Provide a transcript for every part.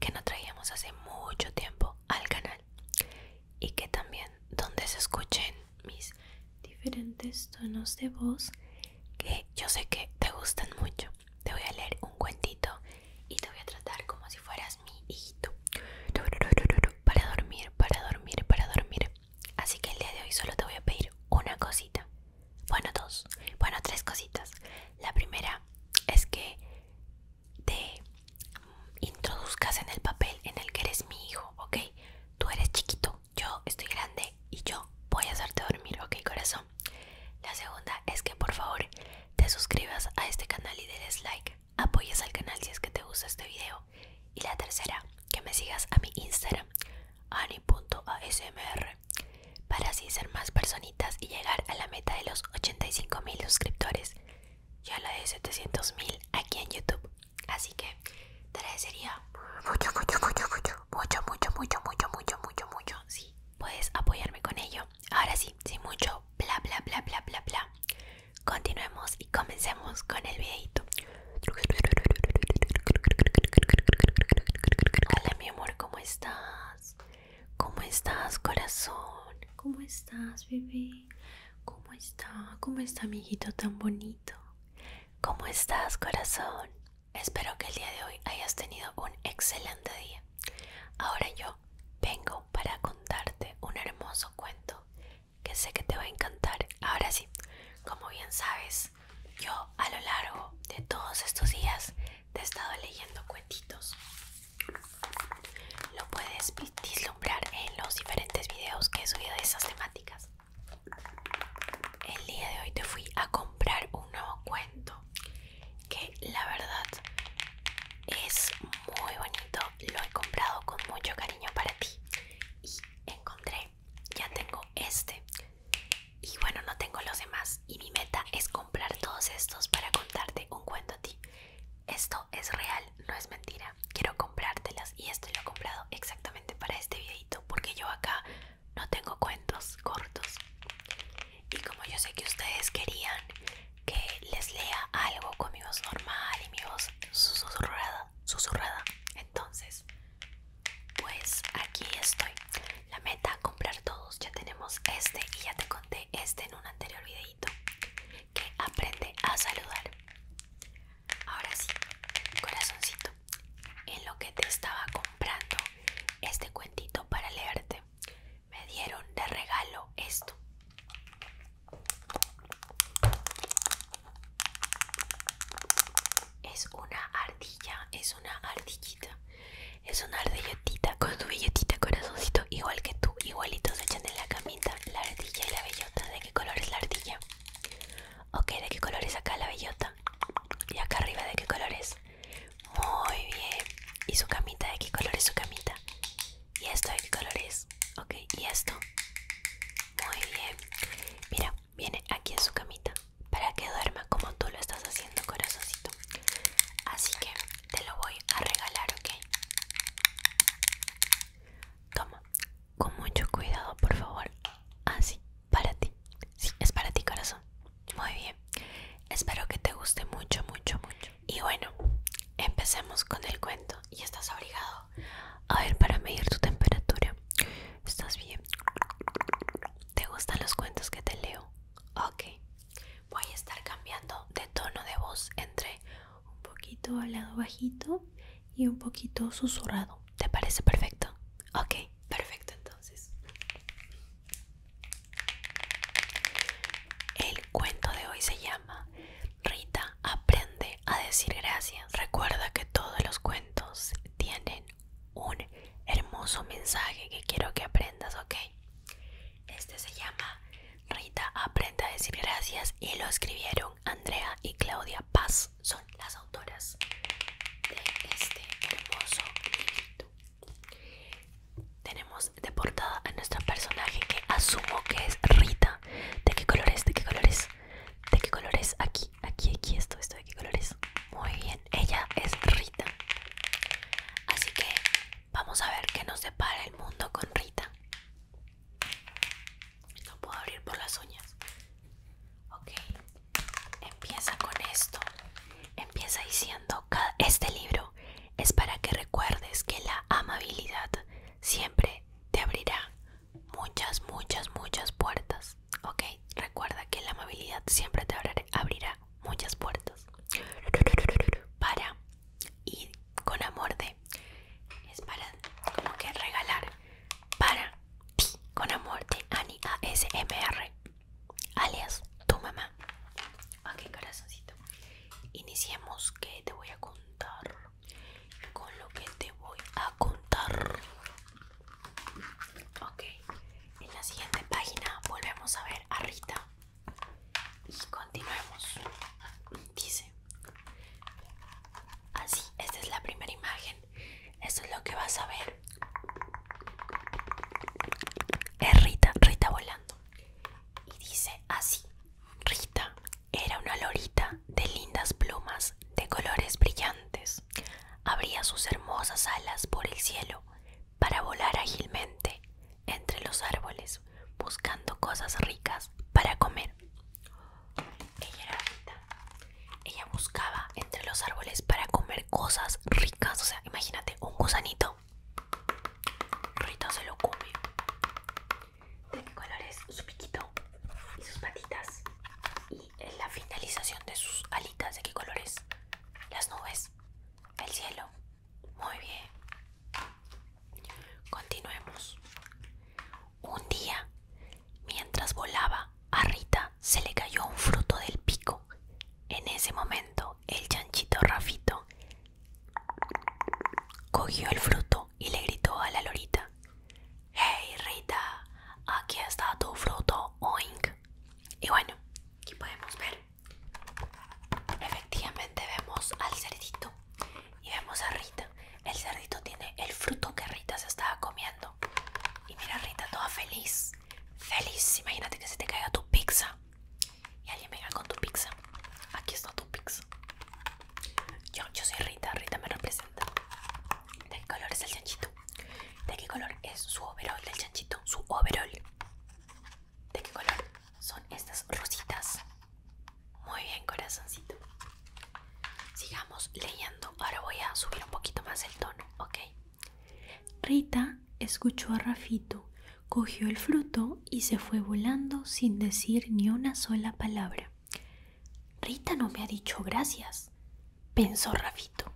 que no traíamos hace mucho tiempo al canal y que también donde se escuchen mis diferentes tonos de voz que yo sé que te gustan mucho. Te voy a leer un cuentito y te voy a tratar como si fueras mi hijito. Para dormir, para dormir, para dormir. Así que el día de hoy solo te voy a pedir una cosita. Bueno, dos. Bueno, tres cositas. La primera es que te introduzcas en el papel en el que eres mi hijo, ¿ok? Tú eres chiquito, yo estoy grande y yo voy a hacerte dormir, ¿ok, corazón? La segunda es que por favor te suscribas a este canal y des like, apoyes al canal si es que te gusta este video. Y la tercera, que me sigas a mi Instagram, ani.asmr, para así ser más personal y llegar a la meta de los 85 mil suscriptores ya la de 700.000 aquí en YouTube. Así que te agradecería mucho, mucho, mucho, mucho, mucho, mucho, mucho, mucho, mucho, mucho, Sí, puedes apoyarme con ello. Ahora sí, sin mucho bla, bla, bla, bla, bla, bla. Continuemos y comencemos con el videito. Hola mi amor, ¿cómo estás? ¿Cómo estás, corazón? ¿Cómo estás, bebé? ¿Cómo está? ¿Cómo está, mi hijito tan bonito? ¿Cómo estás, corazón? Espero que el día de hoy hayas tenido un excelente día. Ahora yo vengo para contarte un hermoso cuento que sé que te va a encantar. Ahora sí, como bien sabes, yo a lo largo de todos estos días te he estado leyendo cuentitos. Lo puedes vislumbrar en los diferentes videos que he subido de esas temáticas. El día de hoy te fui a comprar un nuevo cuento que la verdad es muy bonito. Lo he comprado con mucho cariño para ti y encontré, ya tengo este y bueno no tengo los demás y mi meta es comprar todos estos para contarte un cuento a ti. Esto es real, no es mentira. Quiero comprártelas y esto lo he comprado exactamente para este videito porque yo acá no tengo cuentos cortos. Y como yo sé que ustedes querían que les lea algo con mi voz normal y mi voz susurrada, susurrada, entonces pues aquí estoy. La meta, comprar todos. Ya tenemos este y ya te conté este en un anterior videito. Que aprende a saludar. Ahora sí, corazoncito. En lo que te estaba comprando este cuentito para leerte, me dieron de regalo esto. Es una ardilla, es una ardillita es una ardillotita con tu bellotita corazoncito, igual que tú, igualitos echan en la camita la ardilla y la bellota. ¿De qué color es la ardilla? Ok, ¿de qué color es acá la bellota? Y acá arriba, ¿de qué color es? Muy bien. ¿Y su camita? ¿De qué color es su camita? ¿Y esto de qué color es? Ok, ¿y esto? Muy bien. Mira, viene aquí en su camita para que duerma como tú lo estás haciendo, corazoncito. Así que te lo voy a regalar, ¿ok? Toma, con mucho cuidado, por favor. Así, ah, para ti. Sí, es para ti, corazón. Muy bien. Espero que te guste mucho, mucho, mucho. Y bueno, empecemos con el cuento. Y estás obligado A ver, para medir tu temperatura. ¿Estás bien? ¿Te gustan los cuentos que te leo? Ok, voy a estar cambiando de tono de voz entre un poquito lado bajito y un poquito susurrado. ¿Te parece perfecto? Ok, perfecto entonces. El cuento de hoy se llama Rita aprende a decir gracias. Recuerda que todos los cuentos tienen un hermoso mensaje que quiero que aprendas, ¿ok? Este se llama Rita aprenda a decir gracias y lo escribieron Andrea y Claudia Paz, son las autoras de este hermoso librito. Tenemos de portada a nuestro personaje que asumo que es Rita. ¿De qué colores? ¿De qué colores? ¿De qué colores? Aquí, aquí, aquí, esto, esto, ¿de qué colores? Muy bien ella es Rita. Así que vamos a ver qué nos depara el mundo con Rita. No puedo abrir por las uñas. Ok, empieza con esto. Empieza diciendo, este libro es para que recuerdes que la amabilidad siempre te abrirá muchas, muchas, muchas puertas. Ok, recuerda que la amabilidad siempre te abrirá muchas puertas para y con amor de es para como que regalar para ti con amor de Ani ASMR alias tu mamá ok ah, corazoncito iniciemos que te voy a contar con lo que te voy a contar Ok, en la siguiente página volvemos a ver a Rita y continuemos. Dice, así, esta es la primera imagen, esto es lo que vas a ver. Es Rita, Rita volando. Y dice así, Rita era una lorita de lindas plumas de colores brillantes. Abría sus hermosas alas por el cielo para volar ágilmente entre los árboles buscando cosas ricas para comer. Ella era Rita. Ella buscaba entre los árboles para comer cosas ricas. O sea, imagínate, un gusanito. Rita se lo come. ¿De qué colores su piquito? Y sus patitas la finalización de sus alitas. ¿De qué colores? Las nubes. El cielo. Muy bien. Continuemos. Un día, mientras volaba, a Rita se le cayó un fruto del pico. En ese momento, el chanchito Rafito cogió el fruto y le gritó a la lorita: ¡Hey Rita! Aquí está tu fruto, oink. Y bueno, aquí podemos ver. Efectivamente vemos al cerdito y vemos a Rita. El cerdito tiene el fruto que Rita se estaba comiendo. Y mira Rita toda feliz. Feliz. Imagínate que se te caiga tu pizza. Y alguien venga con tu pizza. Aquí está tu pizza. Yo, yo soy Rita. Rita me representa. de colores el chanchito. ¿De qué color es su overol el chanchito? Su overall. ¿De qué color son estas rositas? Muy bien, corazoncito. Sigamos leyendo. Ahora voy a subir un poquito más el tono, ¿ok? Rita escuchó a Rafito, cogió el fruto y se fue volando sin decir ni una sola palabra. Rita no me ha dicho gracias pensó Rafito.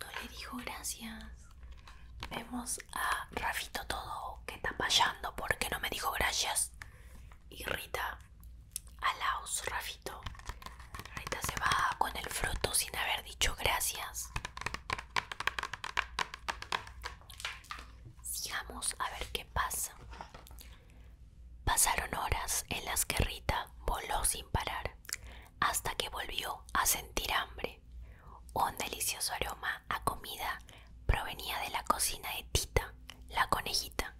No le dijo gracias. Vemos a Rafito todo que está payando porque no me dijo gracias. Y Rita, laos Rafito. Rita se va con el fruto sin haber dicho gracias. Sigamos a ver qué pasa. Pasaron horas en las que Rita voló sin parar hasta que volvió a sentir hambre. Un delicioso aroma a comida provenía de la cocina de Tita, la conejita.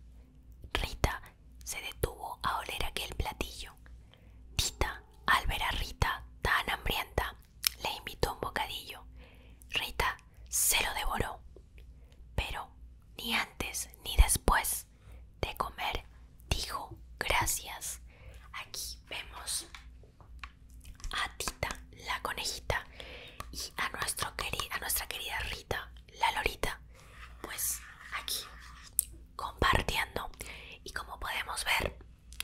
Rita se detuvo a oler aquel platillo. Tita, al ver a Rita tan hambrienta, le invitó un bocadillo. Rita se lo devoró. Pero ni antes ni después de comer, dijo gracias. Aquí vemos a Tita, la conejita, y a, nuestro nuestra querida Rita, la lorita, pues aquí compartiendo. Y como podemos ver,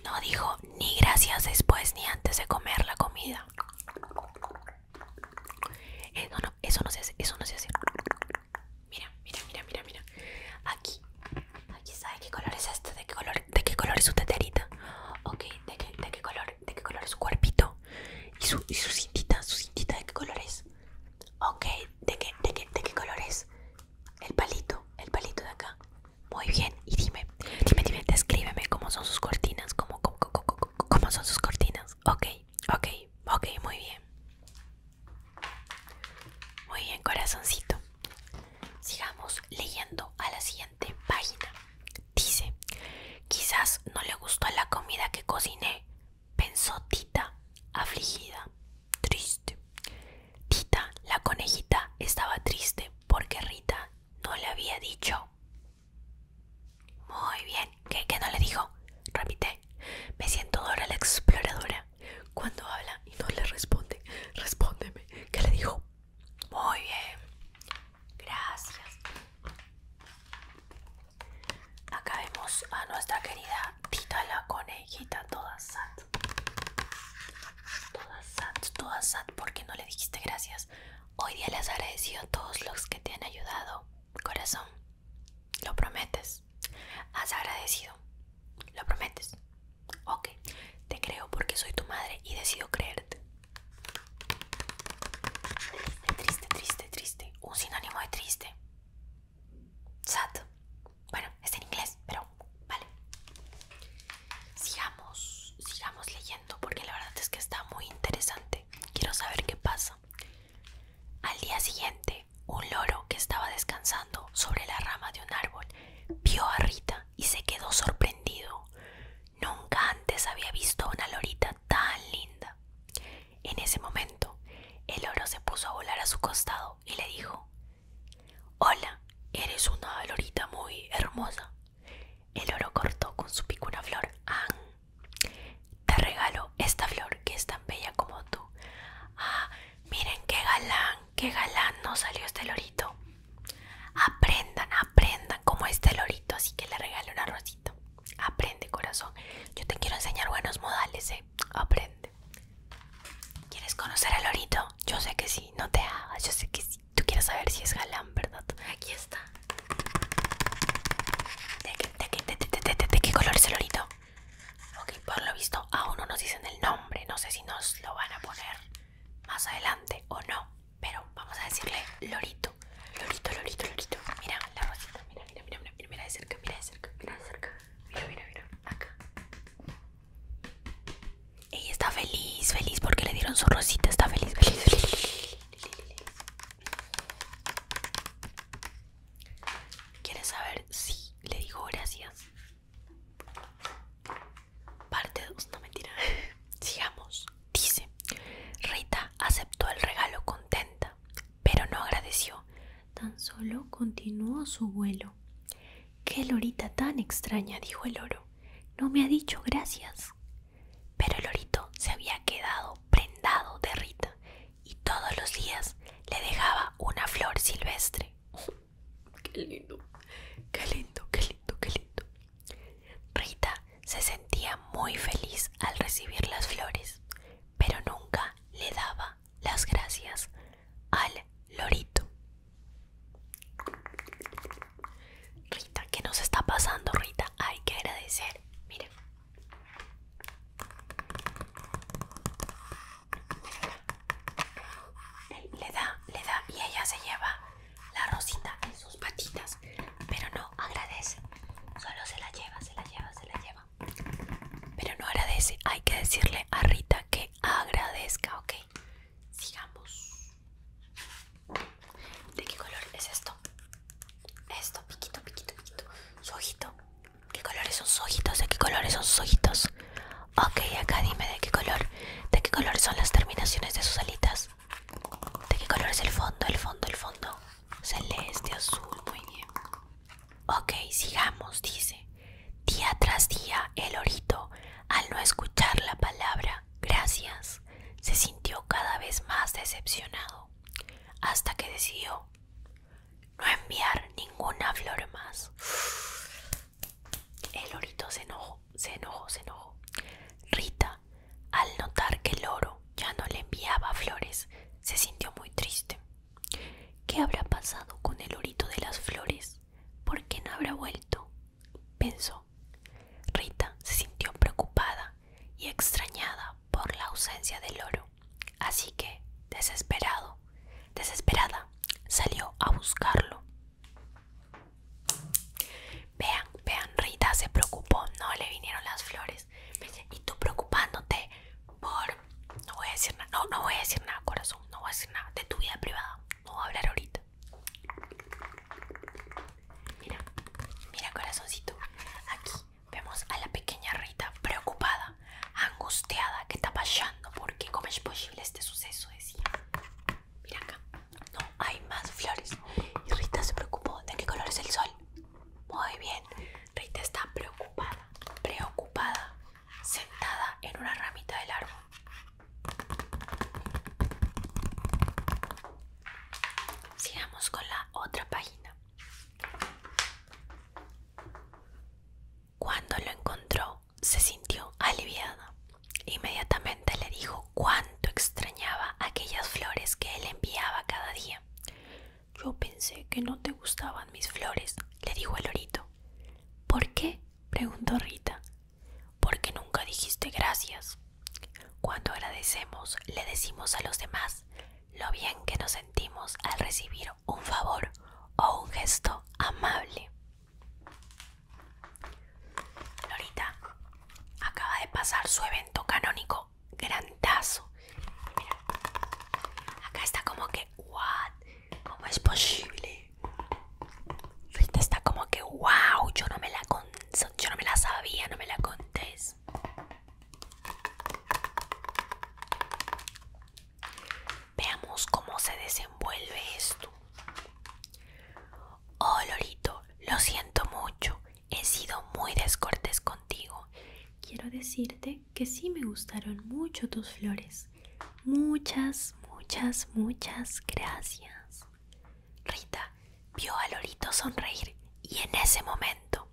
no dijo ni gracias después ni antes de comer la comida. Eh, no, eso no se hace. Mira, mira, mira, mira, mira. Aquí. Aquí sabe qué color es este, de qué color, de qué color es su teterita. Ok, de qué, de qué color, de qué color es su cuerpito. Y su, y su cintita, su cintita de qué color es. Ok, de qué, de qué, de qué color es. El palito, el palito de acá. Muy bien, y dime, dime, dime, escríbeme cómo son sus cortinas, cómo, cómo, cómo, cómo son sus cortinas. Ok, ok, ok, muy bien. Muy bien, corazoncito. Sigamos leyendo a la siguiente página. Dice, quizás no le gustó la comida que cociné, pensó Tita, afligida, triste. Tita, la conejita, estaba triste porque Rita no le había dicho. Muy bien, ¿qué, no le dijo? Repite. Me siento Dora la exploradora. Cuando habla y no le responde, respóndeme. ¿Qué le dijo? Muy bien. Gracias. Acá vemos a nuestra querida Tita la conejita, toda sat. Toda sat, toda porque no le dijiste gracias. Hoy día les agradezco a todos los que te han ayudado. Corazón. ¿Lo prometes? Has agradecido. ¿Lo prometes? Ok, te creo porque soy tu madre y decido creerte. Triste, triste, triste. Un sinónimo de triste. Sad. Bueno, está en inglés, pero vale. Sigamos, sigamos leyendo porque la verdad es que está muy interesante. Quiero saber qué pasa. Al día siguiente, un loro que estaba descansando sobre la rama de un árbol vio a Rita y se quedó sorprendido. Nunca antes había visto una lorita tan linda. En ese momento, el loro se puso a volar a su costado y le dijo, Hola, eres una lorita muy hermosa. El loro cortó con su pico una flor. ¡Ah! Te regalo esta flor que es tan bella como tú. Ah, miren qué galán, qué galán nos salió este lorito. Aprendan, aprendan como este lorito, así que le regalo una rosita. Aprende, corazón. Yo te quiero enseñar buenos modales, ¿eh? Aprende. ¿Quieres conocer al lorito? Yo sé que sí, no te hagas, yo sé que sí. Tú quieres saber si es galán, ¿verdad? Aquí está. de qué color es el lorito? Ok, por lo visto aún no nos dicen el nombre. No sé si nos lo van a poner más adelante o no. Pero vamos a decirle Lorito. Lorito, Lorito, Lorito. Mira la rosita. Mira, mira, mira, mira. Mira de cerca, mira de cerca, mira de cerca. Mira, mira, mira. Acá. Ella está feliz, feliz porque le dieron su rosita. Está feliz, feliz, feliz. ¿Quieres saber si le digo gracias? Parte 2, no mentira. Sigamos. Dice, Rita aceptó el regalo contenta, pero no agradeció. Tan solo continuó su vuelo. Qué lorita tan extraña, dijo el oro. No me ha dicho gracias. Pero el lorito se había quedado prendado de Rita y todos los días le dejaba una flor silvestre. ¡Qué lindo! ¡Qué lindo, qué lindo, qué lindo! Rita se sentía muy feliz al recibir las flores, pero nunca le daba las gracias al lorito. Rita, ¿qué nos está pasando, Rita? Hay que agradecer. miren le da, le da y ella se lleva la rosita en sus patitas, pero no agradece. Solo se la lleva, se la lleva, se la lleva. Pero no agradece. Hay que decirle a Rita que agradezca, ¿ok? Sigamos. ¿De qué color es esto? Esto, piquito, piquito, piquito. Su ojito. ¿Qué colores son sus ojitos? ¿De qué colores son sus ojitos? Ok, acá dime de qué color. ¿De qué color son las terminaciones de sus alitas? ¿De qué color es el fondo? El fondo, el fondo. Celeste, azul, muy bien. Ok, sigamos, dice. Día tras día, el orito, al no escuchar la palabra gracias, se sintió cada vez más decepcionado hasta que decidió no enviar ninguna flor más. El lorito se enojó, se enojó, se enojó. Rita, al notar que el loro ya no le enviaba flores, se sintió muy triste. ¿Qué habrá pasado con el orito de las flores? ¿Por qué no habrá vuelto? pensó. Rita se sintió preocupada y extrañada por la ausencia del oro así que, desesperado, desesperada, salió a buscarlo. Vean, vean, Rita se preocupó, no le vinieron las flores. y tú preocupándote por... No voy a decir nada, no, no voy a decir nada, corazón, no voy a decir nada de tu vida privada, no voy a hablar ahorita. Mira, mira corazoncito, aquí Vemos a la pequeña Rita preocupada, angustiada, que está pasando qué cómo es posible este suceso, decía. Mira acá, no hay más flores. Y Rita se preocupó, ¿de qué color es el sol? Muy bien, Rita está preocupada, preocupada, sentada en una ramita del árbol. Sigamos con la otra página. Cuando lo encontró, se sintió aliviada. Inmediatamente le dijo cuánto extrañaba aquellas flores que él enviaba cada día. Yo pensé que no te gustaban mis flores, le dijo el orito. ¿Por qué? preguntó Rita. Porque nunca dijiste gracias. Cuando agradecemos, le decimos a los demás lo bien que nos sentimos al recibir un favor o un gesto amable. Lorita acaba de pasar su evento canónico grandazo. acá está como que, what? ¿Cómo es posible? Rita está como que, wow, yo no me la, yo no me la sabía, no me la contés. Veamos cómo se desenvuelve esto. Oh, Lorito, lo siento mucho. He sido muy descortés contigo. Quiero decirte que sí me gustaron mucho tus flores. Muchas, muchas, muchas gracias. Rita vio a Lorito sonreír y en ese momento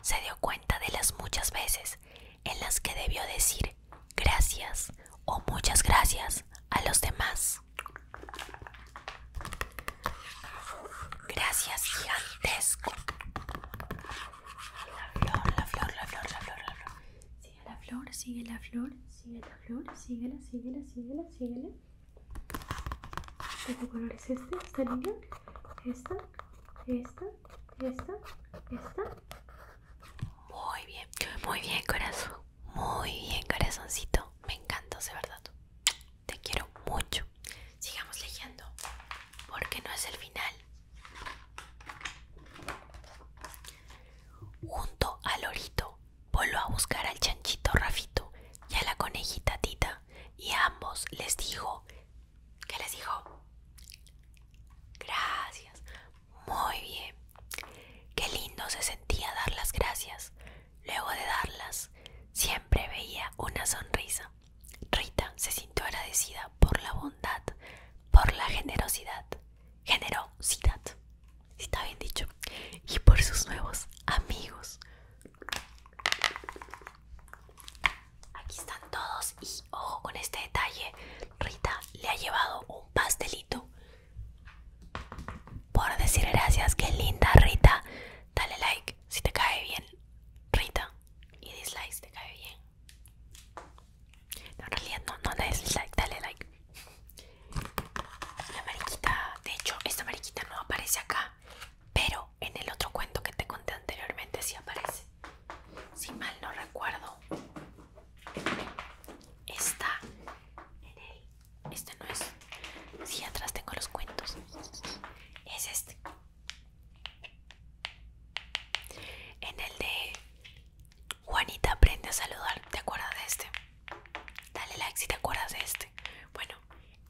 se dio cuenta de las muchas veces en las que debió decir gracias o muchas gracias a los demás. Gracias gigantesco. La flor, la flor, la flor, la flor, la flor. Sigue la flor, sigue la flor, sigue la flor, síguela, sigue la. síguela. ¿De qué color es este? ¿Esta línea? ¿Esta? ¿Esta? ¿Esta? ¿Esta? Muy bien, muy bien corazón, muy bien corazoncito, me encanta, de verdad, te quiero mucho. Sigamos leyendo, porque no es el final. Junto al lorito voló a buscar al chanchito Rafito y a la conejita Tita y ambos les dijo, ¿qué les dijo? Gracias, muy bien. Qué lindo se sentía dar las gracias. Luego de darlas, siempre veía una sonrisa. Rita se sintió agradecida por la bondad, por la generosidad, generosidad, está bien dicho, y por sus nuevos amigos. Aquí están todos y ojo con este detalle. Rita le ha llevado un pastelito. Por decir gracias, qué linda Rita. Dale like si te cae bien, Rita. Y dislike si te cae bien. No, en realidad no, no le dislike, dale like. La mariquita, de hecho, esta mariquita no aparece acá pero en el otro cuento que te conté anteriormente Si aparece. Si mal no recuerdo, está en el. Este no es. Si atrás tengo los cuentos. Es este. En el de Juanita aprende a saludar. ¿Te acuerdas de este? Dale like si te acuerdas de este. Bueno,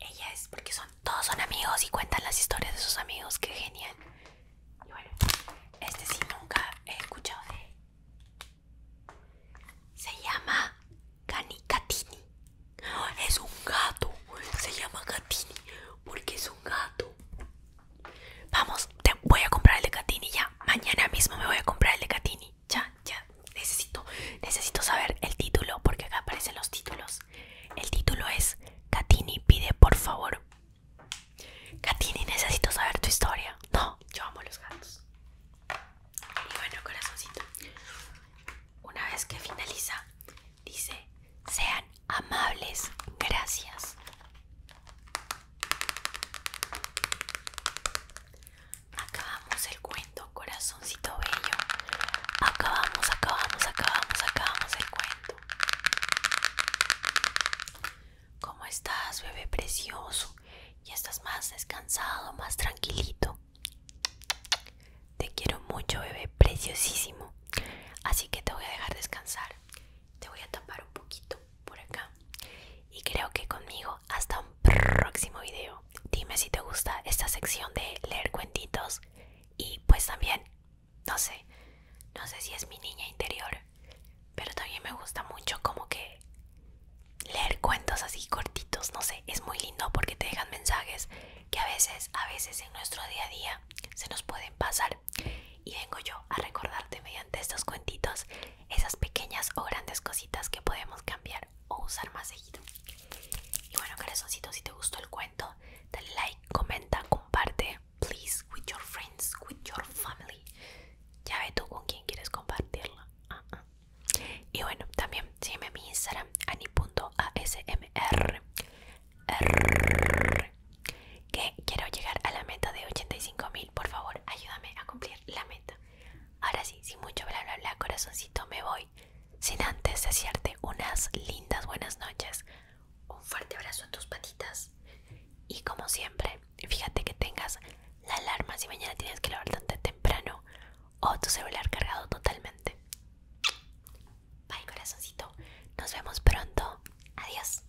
ella es porque son todos son amigos y cuentan las historias de sus amigos, qué genial. Y bueno, este sí nunca he escuchado de Se llama Canicatini. Es un gato. Se llama Catini porque es un gato. Vamos, te voy a comprar el de Catini ya. Mañana mismo me voy a comprar el de Catini ya, ya, necesito, necesito saber el título porque acá aparecen los títulos. El título es Catini pide por favor. Katini, necesito saber tu historia. No, yo amo los gatos. Y bueno, corazoncito. Una vez que finaliza, dice, sean amables, gracias acabamos el cuento, corazoncito bello. Acabamos, acabamos, acabamos, acabamos el cuento. ¿Cómo estás, bebé precioso? ¿Ya estás más descansado, más tranquilito? Te quiero mucho, bebé preciosísimo. Así que te voy a dejar descansar. Te voy a tapar un poquito por acá. Y creo que conmigo hasta un próximo video dime si te gusta esta sección de leer cuentitos y pues también, no sé, no sé si es mi niña interior, pero también me gusta mucho como que leer cuentos así cortitos, no sé, es muy lindo porque te dejan mensajes que a veces, a veces en nuestro día a día se nos pueden pasar y vengo yo a recordarte mediante estos cuentitos esas pequeñas o grandes cositas que podemos cambiar o usar más seguido. Y bueno, corazoncito, si te gustó el cuento, dale like, comenta, comparte, please, with your friends, with your family. Ya ve tú con quién quieres compartirla ah, ah. Y bueno, también sígueme en mi Instagram, ani.asmr. Que quiero llegar a la meta de 85 mil. Por favor, ayúdame a cumplir la meta. Ahora sí, sin mucho bla bla bla, corazoncito, me voy. Sin antes desearte unas lindas buenas noches, un fuerte abrazo a tus patitas. Y como siempre, fíjate que tengas la alarma si mañana tienes que levantarte temprano o tu celular cargado totalmente. Bye, corazoncito. Nos vemos pronto. Adiós.